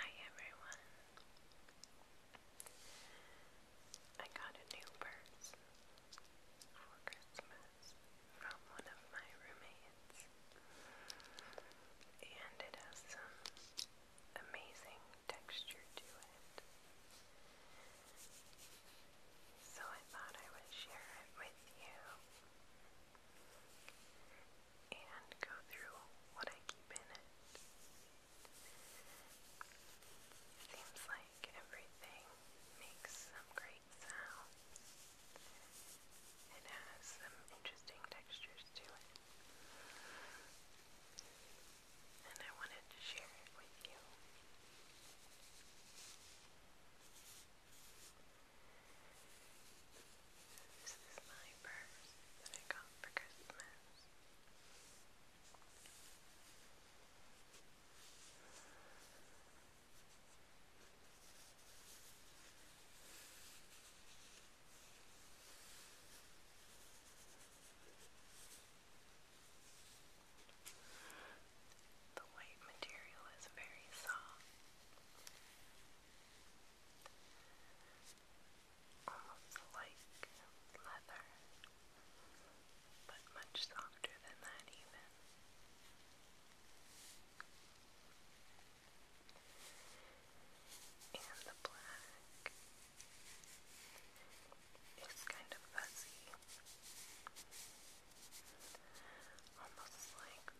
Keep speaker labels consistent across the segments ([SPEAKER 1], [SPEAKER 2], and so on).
[SPEAKER 1] Hi everyone. I got a new purse for Christmas from one of my roommates. And it has some amazing texture to it. So I thought I would share it with you and go through what I keep in it. Seems like everything makes some great sounds. It has some interesting textures to it. And I wanted to share it with you. This is my purse that I got for Christmas. The white material is very soft almost um, like leather, but much softer than that, even. And the black is kind of fuzzy, almost like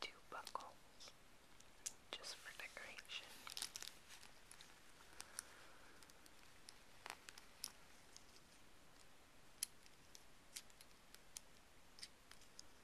[SPEAKER 1] two buckles just for decoration. And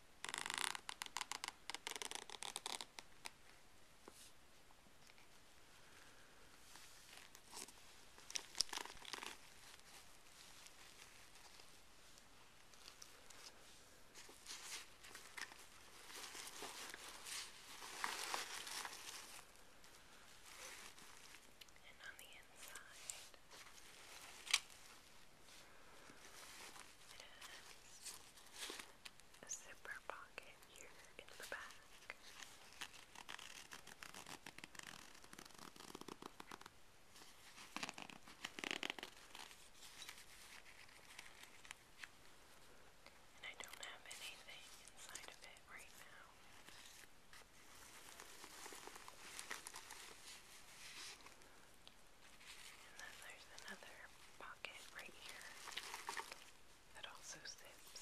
[SPEAKER 1] And on the inside, it has a zipper pocket here in the back. And I don't have anything inside of it right now. And then there's another pocket right here that also zips.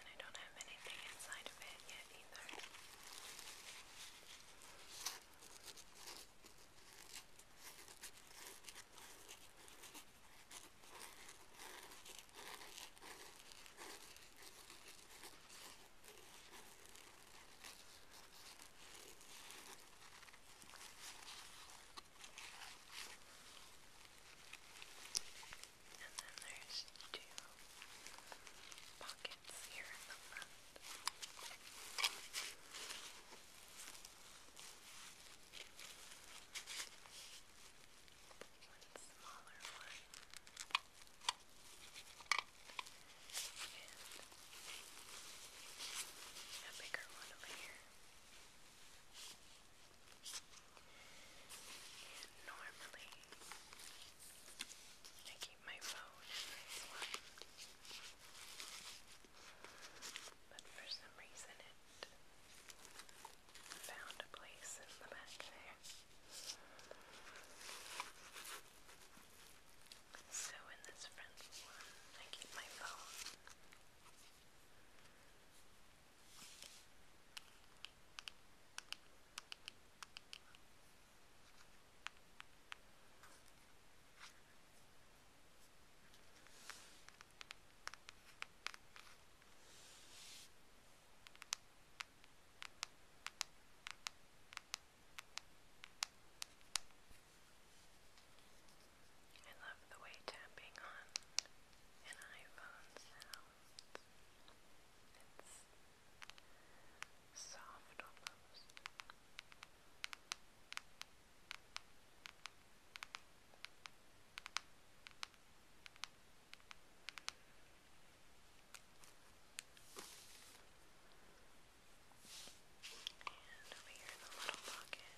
[SPEAKER 1] And I don't have anything inside of it yet either. And then there's two pockets here in the front. And smaller one. And a bigger one over here. And normally I keep my phone in this one. But for some reason it found a place in the back there. So in this front one, I keep my phone. And I love the way tapping on an iPhone sounds. It's soft almost. And over here in the little pocket,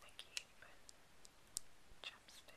[SPEAKER 1] I keep chopstick. And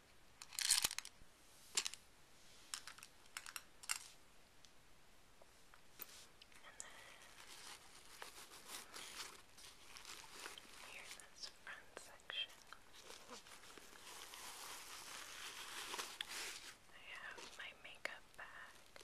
[SPEAKER 1] And then here in this front section, I have my makeup bag.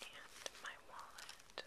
[SPEAKER 1] and my wallet. Now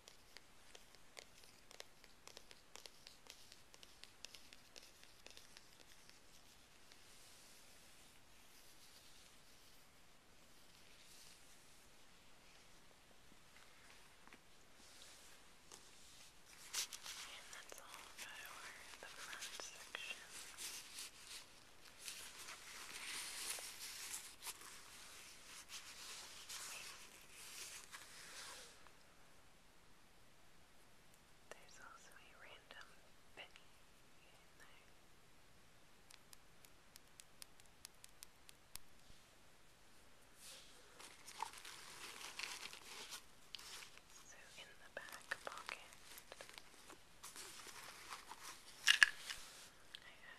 [SPEAKER 1] And that's all for the front section. Wait, there's also a random penny in there. So in the back pocket, I have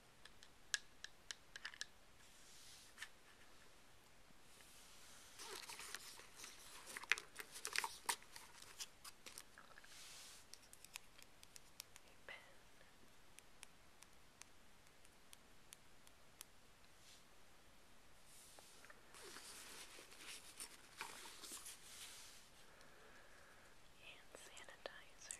[SPEAKER 1] A pen. And sanitizer.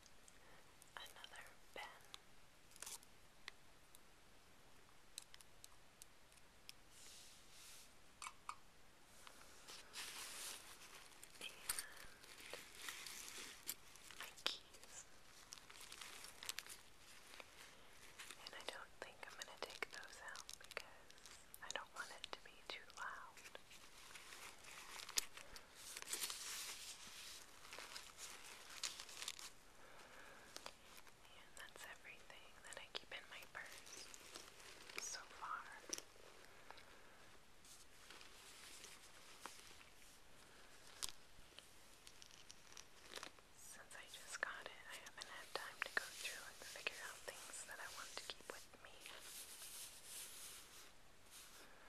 [SPEAKER 1] another pen. my keys. And I don't think I'm going to take those out because I don't want it to be too loud. And that's everything that I keep in my purse so far. Since I just got it, I haven't had time to go through and figure out things that I want to keep with me.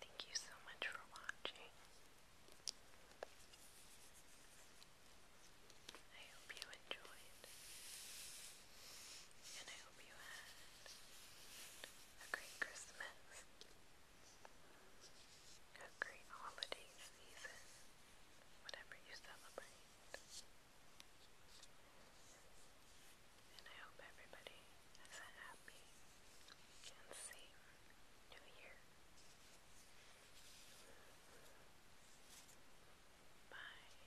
[SPEAKER 1] Thank you so much for watching. I hope you enjoyed, and I hope you had a great Christmas, a great holiday season, whatever you celebrate. And I hope everybody has a happy and safe new year. Bye.